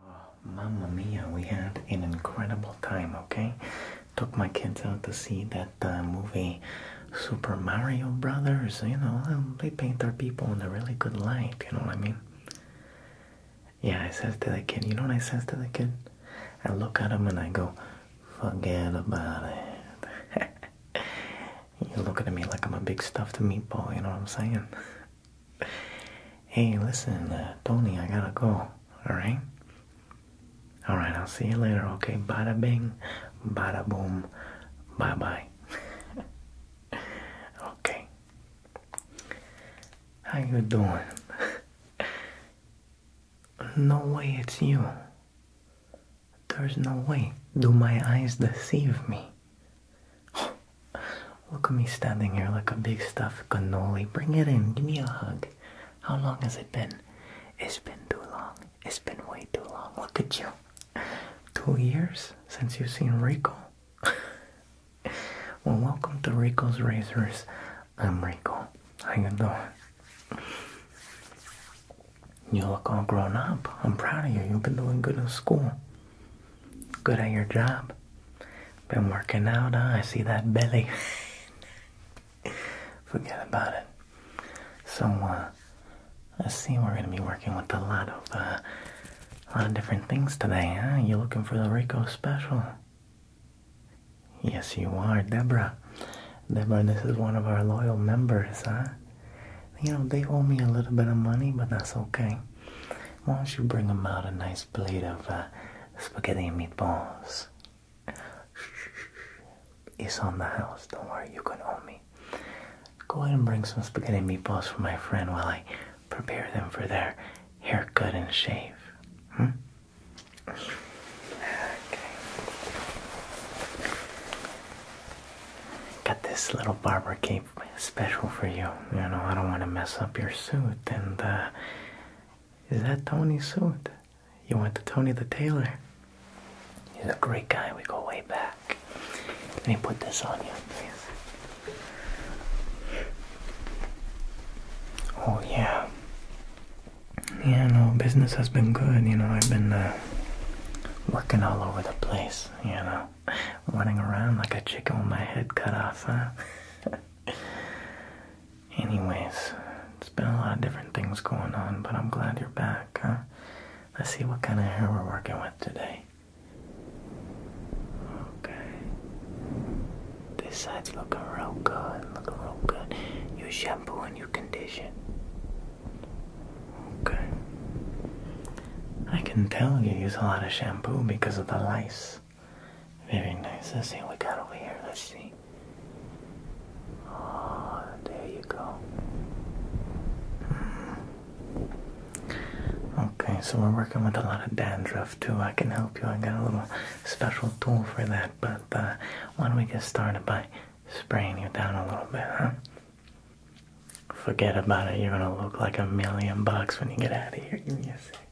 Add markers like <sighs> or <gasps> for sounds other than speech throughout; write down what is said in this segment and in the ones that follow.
Oh, mamma mia, we had an incredible time, okay? Took my kids out to see that uh, movie Super Mario Brothers, you know, they paint their people in a really good light, you know what I mean? Yeah, I says to the kid, you know what I says to the kid? I look at him and I go, forget about it. <laughs> You're looking at me like I'm a big stuffed meatball, you know what I'm saying? Hey, listen, uh, Tony, I gotta go. Alright? Alright, I'll see you later, okay? Bada bing, bada boom, bye bye. <laughs> okay. How you doing? <laughs> no way it's you. There's no way. Do my eyes deceive me? <gasps> Look at me standing here like a big stuffed cannoli. Bring it in. Give me a hug. How long has it been? It's been too long. It's been way too long. Look at you. Two years since you've seen Rico. <laughs> well, welcome to Rico's Razors. I'm Rico. How you doing? You look all grown up. I'm proud of you. You've been doing good in school. Good at your job. Been working out, huh? I see that belly. <laughs> Forget about it. So, uh, I see we're gonna be working with a lot of, uh, a lot of different things today, huh? You looking for the Rico special? Yes, you are, Deborah. Deborah, this is one of our loyal members, huh? You know, they owe me a little bit of money, but that's okay. Why don't you bring him out a nice plate of uh, spaghetti and meatballs? It's on the house. Don't worry, you can own me. Go ahead and bring some spaghetti and meatballs for my friend while I prepare them for their haircut and shave. Hmm? Okay. Got this little barber cape special for you. You know, I don't want to mess up your suit. And, uh, is that Tony's suit? You went to Tony the tailor. He's a great guy. We go way back. Let me put this on you, please. Oh, yeah. Yeah, no, business has been good. You know, I've been uh, working all over the place, you know running around like a chicken with my head cut off, huh? <laughs> Anyways, it's been a lot of different things going on, but I'm glad you're back, huh? Let's see what kind of hair we're working with today. Okay. This side's looking real good, looking real good. You shampoo and you condition. Okay. I can tell you use a lot of shampoo because of the lice. Very nice. Let's see what we got over here. Let's see. Oh, there you go. Hmm. Okay, so we're working with a lot of dandruff too. I can help you. I got a little special tool for that, but uh, why don't we get started by spraying you down a little bit, huh? Forget about it. You're gonna look like a million bucks when you get out of here. Give me a sec.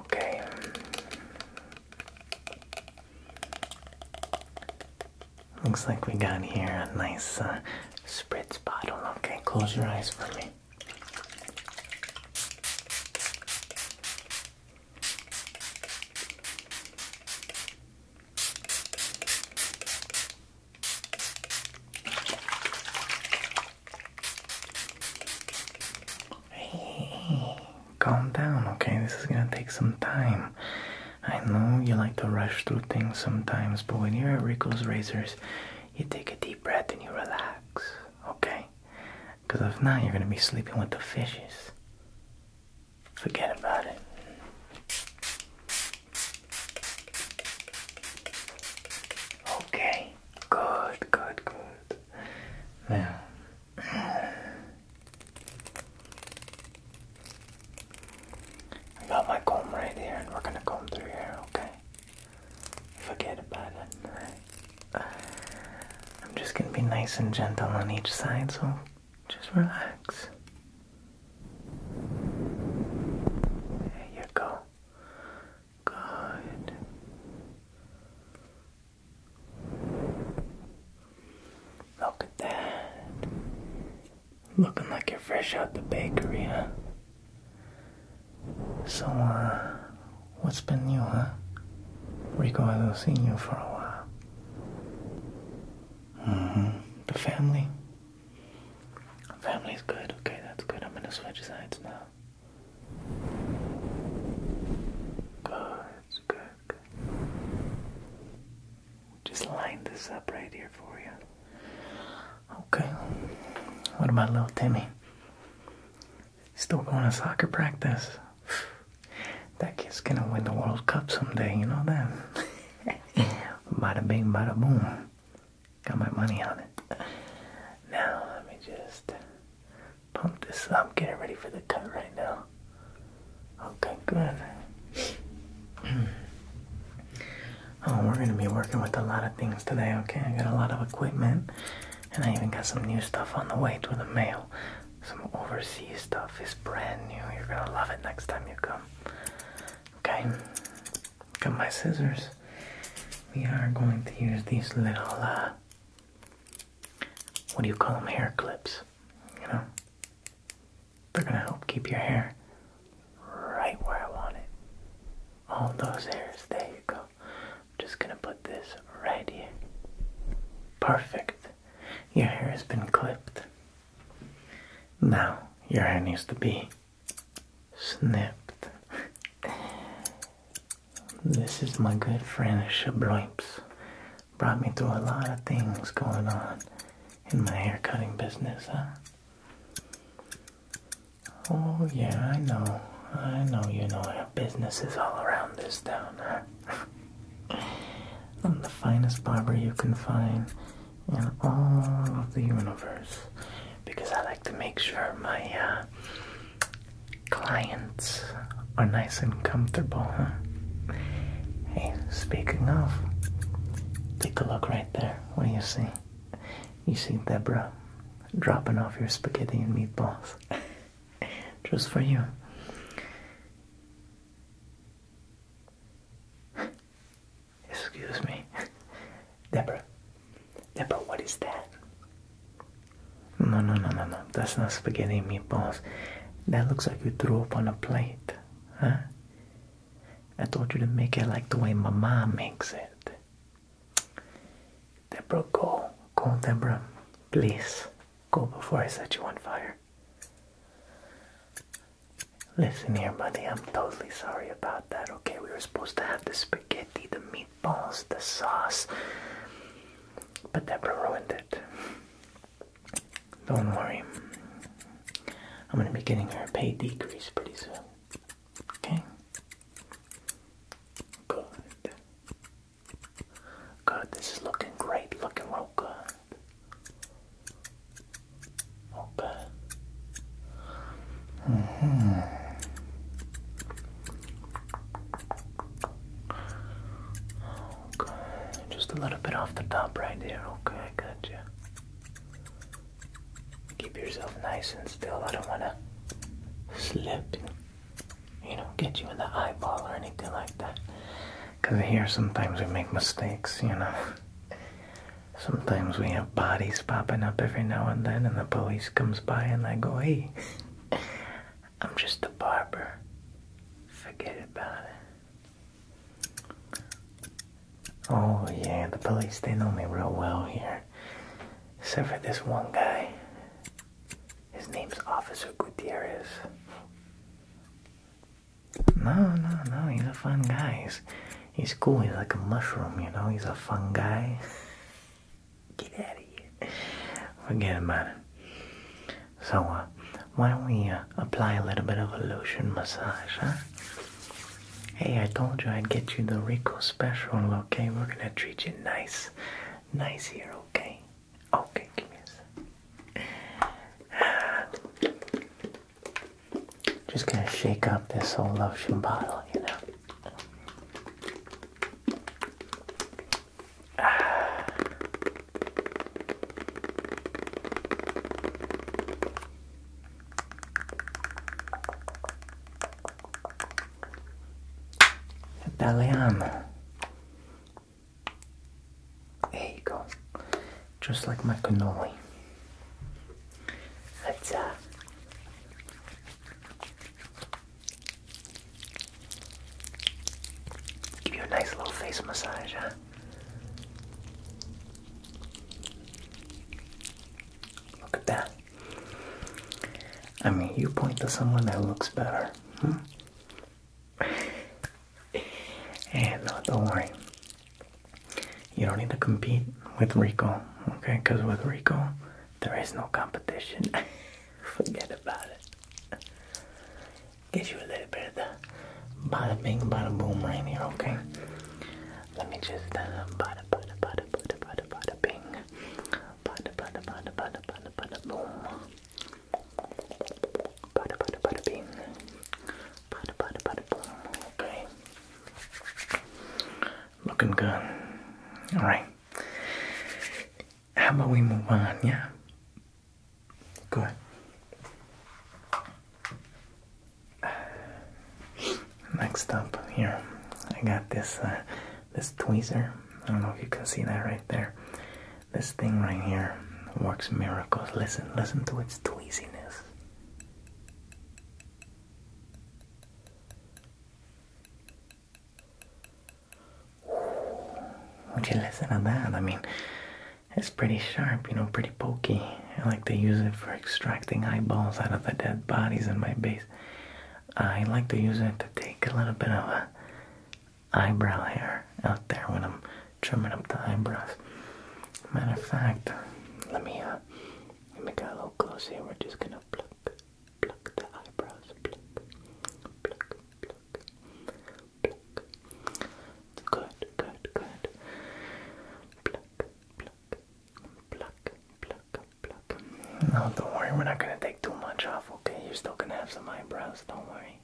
Okay. Looks like we got here a nice uh, spritz bottle. Okay, close your eyes for me. Hey, calm down, okay? This is gonna take some time. I know you like to rush through things sometimes, but when you're at Rickles Razors, you take a deep breath and you relax, okay? Because if not, you're gonna be sleeping with the fishes. Forget about it. Okay, good, good, good. Now, I got my comb right here, and we're gonna comb through here, okay? Forget about it, I'm just gonna be nice and gentle on each side, so just relax. There you go. Good. Look at that. Looking like you're fresh out the bakery, huh? So, uh, what's been new, huh? we Rico hasn't see you for a while. Mm-hmm. The family? Family's good. Okay, that's good. I'm gonna switch sides now. Good, good, good. Just line this up right here for you. Okay. What about little Timmy? Still going to soccer practice. <sighs> That kid's gonna win the World Cup someday, you know that? <laughs> <laughs> bada bing, bada boom. Got my money on it. Now, let me just pump this up. Getting ready for the cut right now. Okay, good. <clears throat> oh, we're going to be working with a lot of things today, okay? I got a lot of equipment. And I even got some new stuff on the way through the mail. Some overseas stuff is brand new. You're going to love it next time you come. Okay, got my scissors. We are going to use these little, uh, what do you call them, hair clips? You know? They're gonna help keep your hair right where I want it. All those hairs, there you go. I'm just gonna put this right here. Perfect. Your hair has been clipped. Now your hair needs to be snipped. This is my good friend Shabloips. Brought me through a lot of things going on in my hair cutting business, huh? Oh yeah, I know. I know you know I have businesses all around this town, <laughs> I'm the finest barber you can find on all of the universe because I like to make sure my uh, clients are nice and comfortable. Huh? Hey, speaking of, take a look right there. What do you see? You see Deborah dropping off your spaghetti and meatballs <laughs> just for you. Excuse me. Deborah. Deborah, what is that? No, no, no, no, no. That's not spaghetti and meatballs. That looks like you threw up on a plate. Huh? I told you to make it like the way my mom makes it. Deborah, go. Go, Deborah. Please. Go before I set you on fire. Listen here, buddy, I'm totally sorry about that, okay? We were supposed to have the spaghetti, the meatballs, the sauce, but that ruined it. Don't worry. I'm gonna be getting her a pay decrease pretty soon. Okay? Good. Good, this is looking great, looking real good. Okay. -hmm. Okay. Just a little bit off the top right there. Okay, I got you. Keep yourself nice and still. I don't want to slip you know, get you in the eyeball or anything like that. Because here sometimes we make mistakes, you know. Sometimes we have bodies popping up every now and then, and the police comes by and they go, "Hey, I'm just a barber. Forget about it." Oh yeah, the police—they know me real well here, except for this one guy. His name's Officer Gutierrez. No, no, no, he's a fun guy. He's, cool, he's like a mushroom, you know, he's a fun guy. <laughs> Get out of here. Forget about it. So, uh, why don't we uh, apply a little bit of a lotion massage, Hey, I told you I'd get you the Rico special, okay? We're gonna treat you nice. Nice here, okay? Okay, give me a just gonna shake up this old lotion bottle, you know. Ah. Italian. There you go. Just like my cannoli. Let's uh, give you a nice little face massage, huh? Look at that. I mean, you point to someone that looks better. Hmm? and eh, no, don't worry. You don't need to compete with Rico, okay? Because with Rico, there is no competition. <laughs> Forget about it. Get you a little bit of the bada bing, bada boom right here, okay? Let me just uh, bada bada bada bada bada bada bing, bada bada bada bada bada bada boom. Bada bada bada bing. Bada bada bada boom. Okay. Looking good. Alright. How about we move on, yeah? Good. Next up here, I got this uh, this tweezer. I don't know if you can see that right there. This thing right here works miracles. Listen, listen to its tweeziness. Would you listen to that? I mean, it's pretty sharp, you know, pretty pokey. I like to use it for extracting eyeballs out of the dead bodies in my base. I like to use it to take a little bit of a eyebrow hair out there when I'm trimming up the eyebrows. Matter of fact, let me uh, let me get a little close here. We're just gonna pluck, pluck the eyebrows, pluck, pluck, pluck, pluck. Good, good, good. Pluck, pluck, pluck, pluck, pluck. No, don't worry. We're not gonna take too much off. Okay, you're still gonna have some eyebrows. Don't worry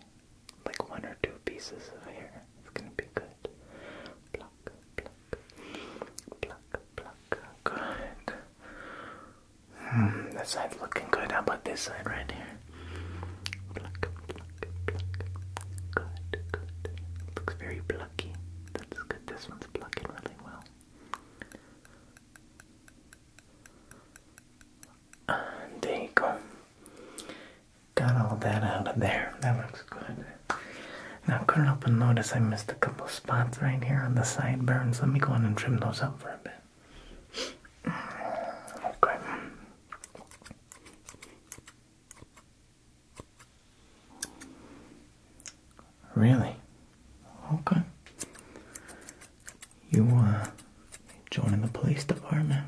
like one or two pieces of hair. It's gonna be good. Pluck, pluck, pluck, pluck. Good. Hmm, that side's looking good. How about this side right here? Pluck, pluck, pluck. Good, good. Looks very plucky. That's good. This one's plucking really well. there you go. Got all that out of there. That looks good. Now, curl up and notice I missed a couple spots right here on the sideburns. Let me go in and trim those up for a bit. Okay. Really? Okay. You, uh, joining the police department?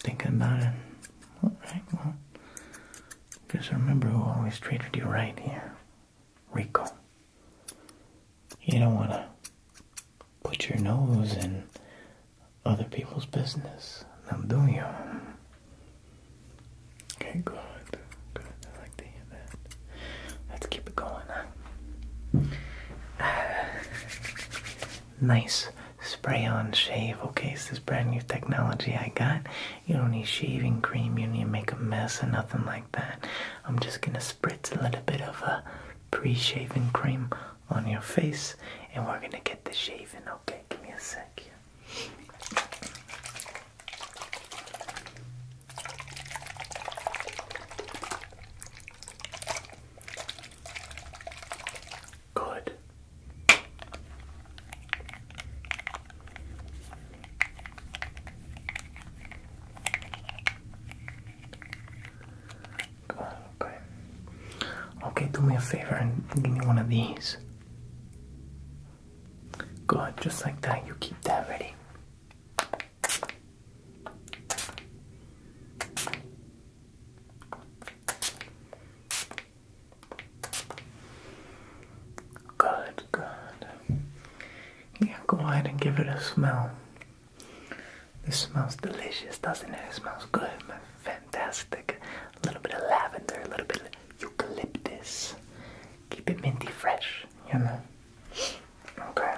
Thinking about it. All right, well, just remember who always treated you right here. Rico. You don't want to put your nose in other people's business. Now doing you? Okay, good. Good. I like to hear Let's keep it going. <sighs> nice spray on shave. Okay, it's this brand new technology I got. You don't need shaving cream, you need to make a mess and nothing like that. I'm just gonna spritz a little bit of a uh, pre shaving cream on your face and we're gonna get the shaving. Okay, give me a sec Good. Okay. Okay, do me a favor and give me one of these. Good, just like that. You keep that ready. Good, good. Yeah, go ahead and give it a smell. This smells delicious, doesn't it? smells good, fantastic. A little bit of lavender, a little bit of eucalyptus. Keep it minty fresh, you know. Okay.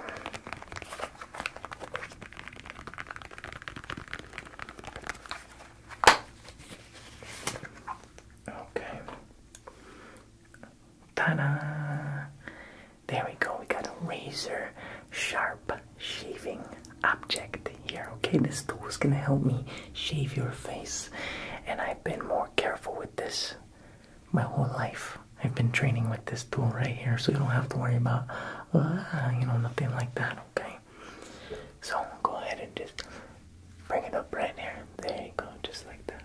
Okay. Ta-da! There we go. We got a razor sharp shaving object here. Okay, this tool is gonna help me shave your face, and I've been more careful with this my whole life I've been training with this tool right here, so you don't have to worry about, uh, you know, nothing like that, okay? So go ahead and just bring it up right here. There you go, just like that.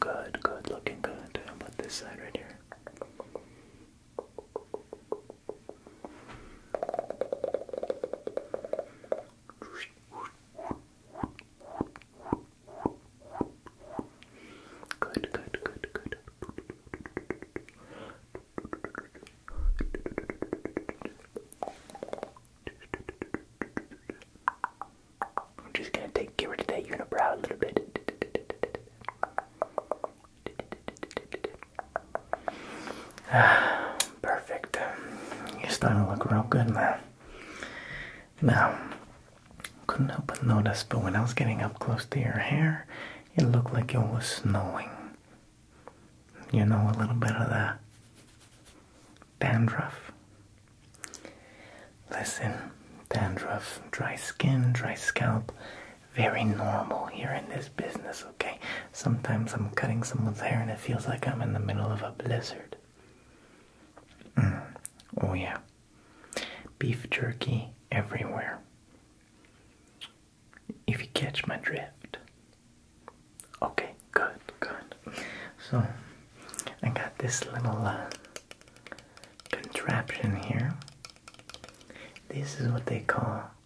Good, good, looking good. How this side right here? Good, good, good, good. I'm just gonna take get rid of that unibrow a little bit. <sighs> Perfect. You're starting to look real good now. Now, couldn't help but notice, but when I was getting up close to your hair, it looked like it was snowing. You know, a little bit of that. dandruff. Listen, dandruff, dry skin, dry scalp, very normal here in this business, okay? Sometimes I'm cutting someone's hair and it feels like I'm in the middle of a blizzard. Mm. Oh, yeah. Beef jerky everywhere. If you catch my drift. Okay, good, good. So, I got this little uh, contraption here. This is what they call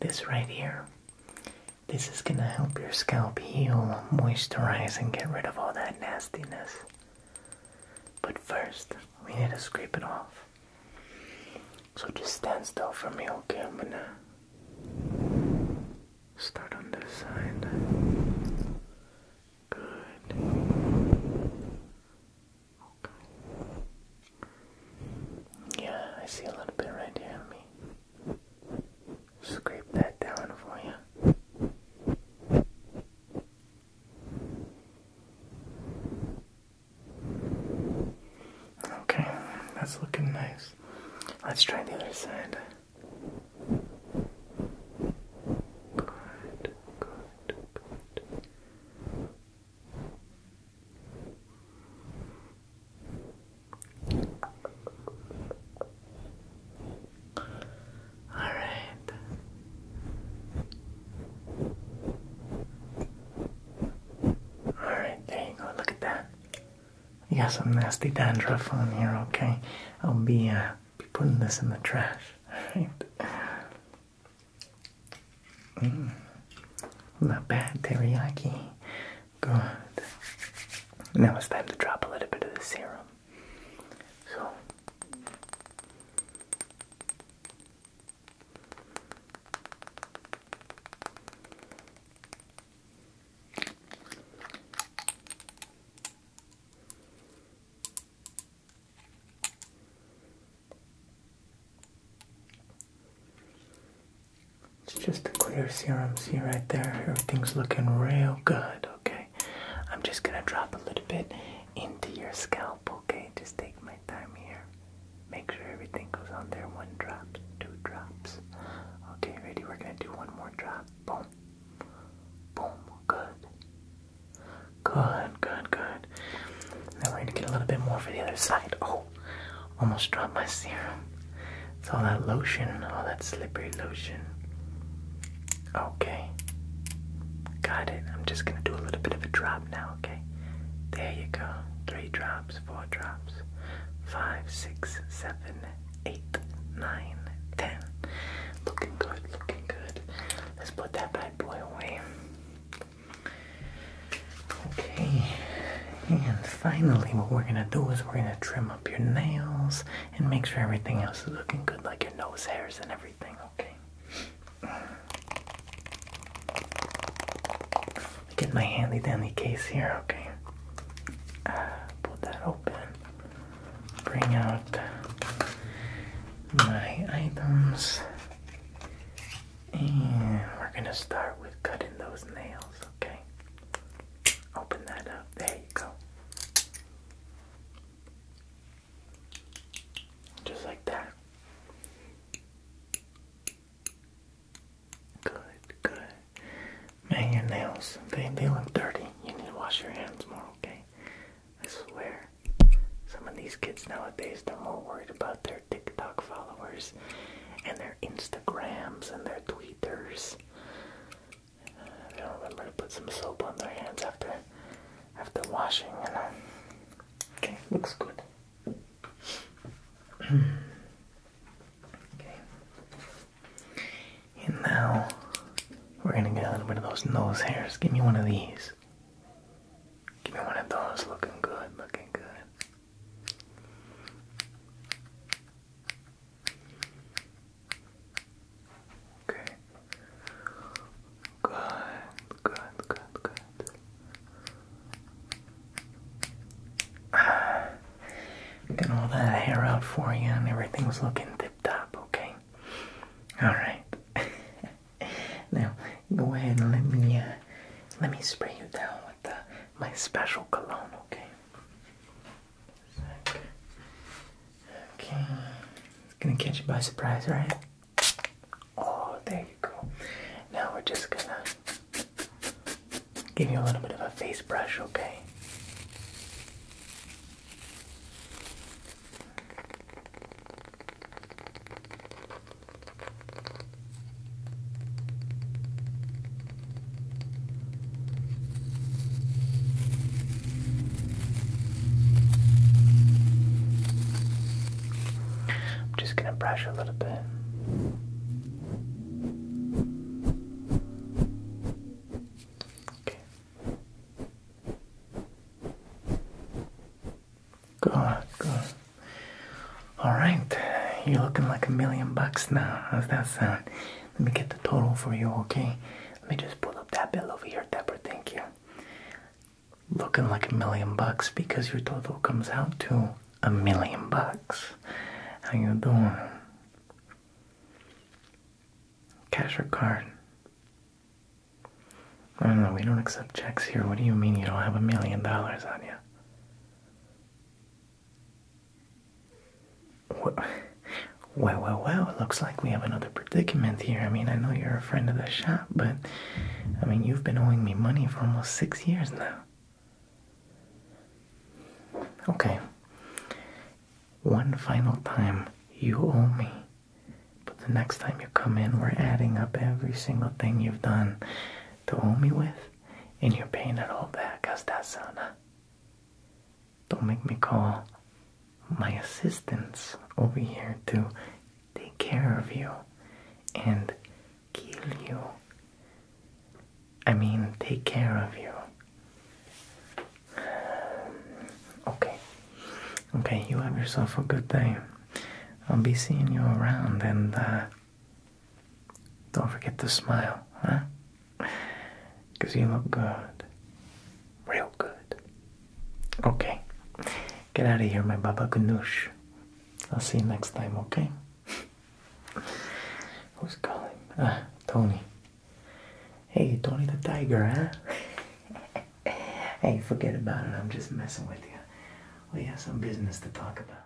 This right here, this is gonna help your scalp heal, moisturize, and get rid of all that nastiness. But first, we need to scrape it off. So just stand still for me, okay? I'm gonna start on this side. Good. Yeah, I see a little bit right there me. Scrape that down for you. Okay, that's looking nice. Let's try the other side. Good, good, good. All right. All right, there you go. Look at that. You got some nasty dandruff on here, okay? I'll be uh, be putting this in the trash. <laughs> All right. Mm. Not bad, teriyaki. Good. Now it's time to drop a little bit of the serum. So. It's just a clear serum. See right there, everything's looking real good. Okay, I'm just gonna drop a little bit into your scalp. Okay, just take my time here. Make sure everything goes on there. One drop, two drops. Okay, ready? We're gonna do one more drop. Boom, boom. Good, good, good, good side. Then we're gonna get a little bit more for the other side. Oh, almost dropped my serum. It's all that lotion, all that slippery lotion. Okay, got it. I'm just gonna do a little bit of a drop now, okay? There you go. Three drops, four drops, five, six, seven, eight, nine, ten. Looking good, looking good. Let's put that bad boy away. Okay, and finally, what we're gonna do is we're gonna trim up your nails and make sure everything else is looking good, like your nose hairs and everything, okay? Get my handy dandy case here, okay? Uh, pull that open, bring out my items. And we're gonna start with cutting those nails, okay? Open that up. There you go. Just like that. Good, good. Man, your nails, they, they look dirty. You need to wash your hands more, okay? I swear. Some of these kids nowadays, they're more worried about their TikTok followers and their Instagrams and their tweeters. I uh, don't remember to put some soap on their hands after after washing and I, okay, looks good. okay. And now we're gonna get a little bit of those nose hairs. Give me one of these. Give me one of those. Looking good, looking good. Okay. Good, good, good, good. Ah, <sighs> got all that hair out for you and everything's looking tip top, okay? Alright. <laughs> now go ahead and let me uh, let me spray you down with uh, my special cologne, okay? okay, it's gonna catch you by surprise, right? Oh, there you go. Now we're just gonna give you a little bit of a face brush, okay? I'm just going to brush a little bit. Okay. Good, good. All right, you're looking like a million bucks now. How's that sound? Let me get the total for you, okay? Let me just pull up that bill over here, Deborah. Thank you. Looking like a million bucks because your total comes out to a million bucks. How you doing? Cash or card? No, know we don't accept checks here. What do you mean you don't have a million dollars on you? Well, well, well, it looks like we have another predicament here. I mean, I know you're a friend of the shop, but I mean, you've been owing me money for almost six years now. Okay. One final time, you owe me but the next time you come in, we're adding up every single thing you've done to owe me with, and you're paying it all back. How's that sound? Huh? Don't make me call my assistants over here to take care of you and kill you. I mean, take care of you. <sighs> Okay. Okay, you have yourself a good day. I'll be seeing you around, and uh, don't forget to smile, huh? Because you look good. Real good. Okay. Get out of here, my Baba Ganoush. I'll see you next time, okay? <laughs> Who's calling? Ah, Tony. Hey, Tony the Tiger, huh? <laughs> Hey, forget about it. I'm just messing with you. We have some business to talk about.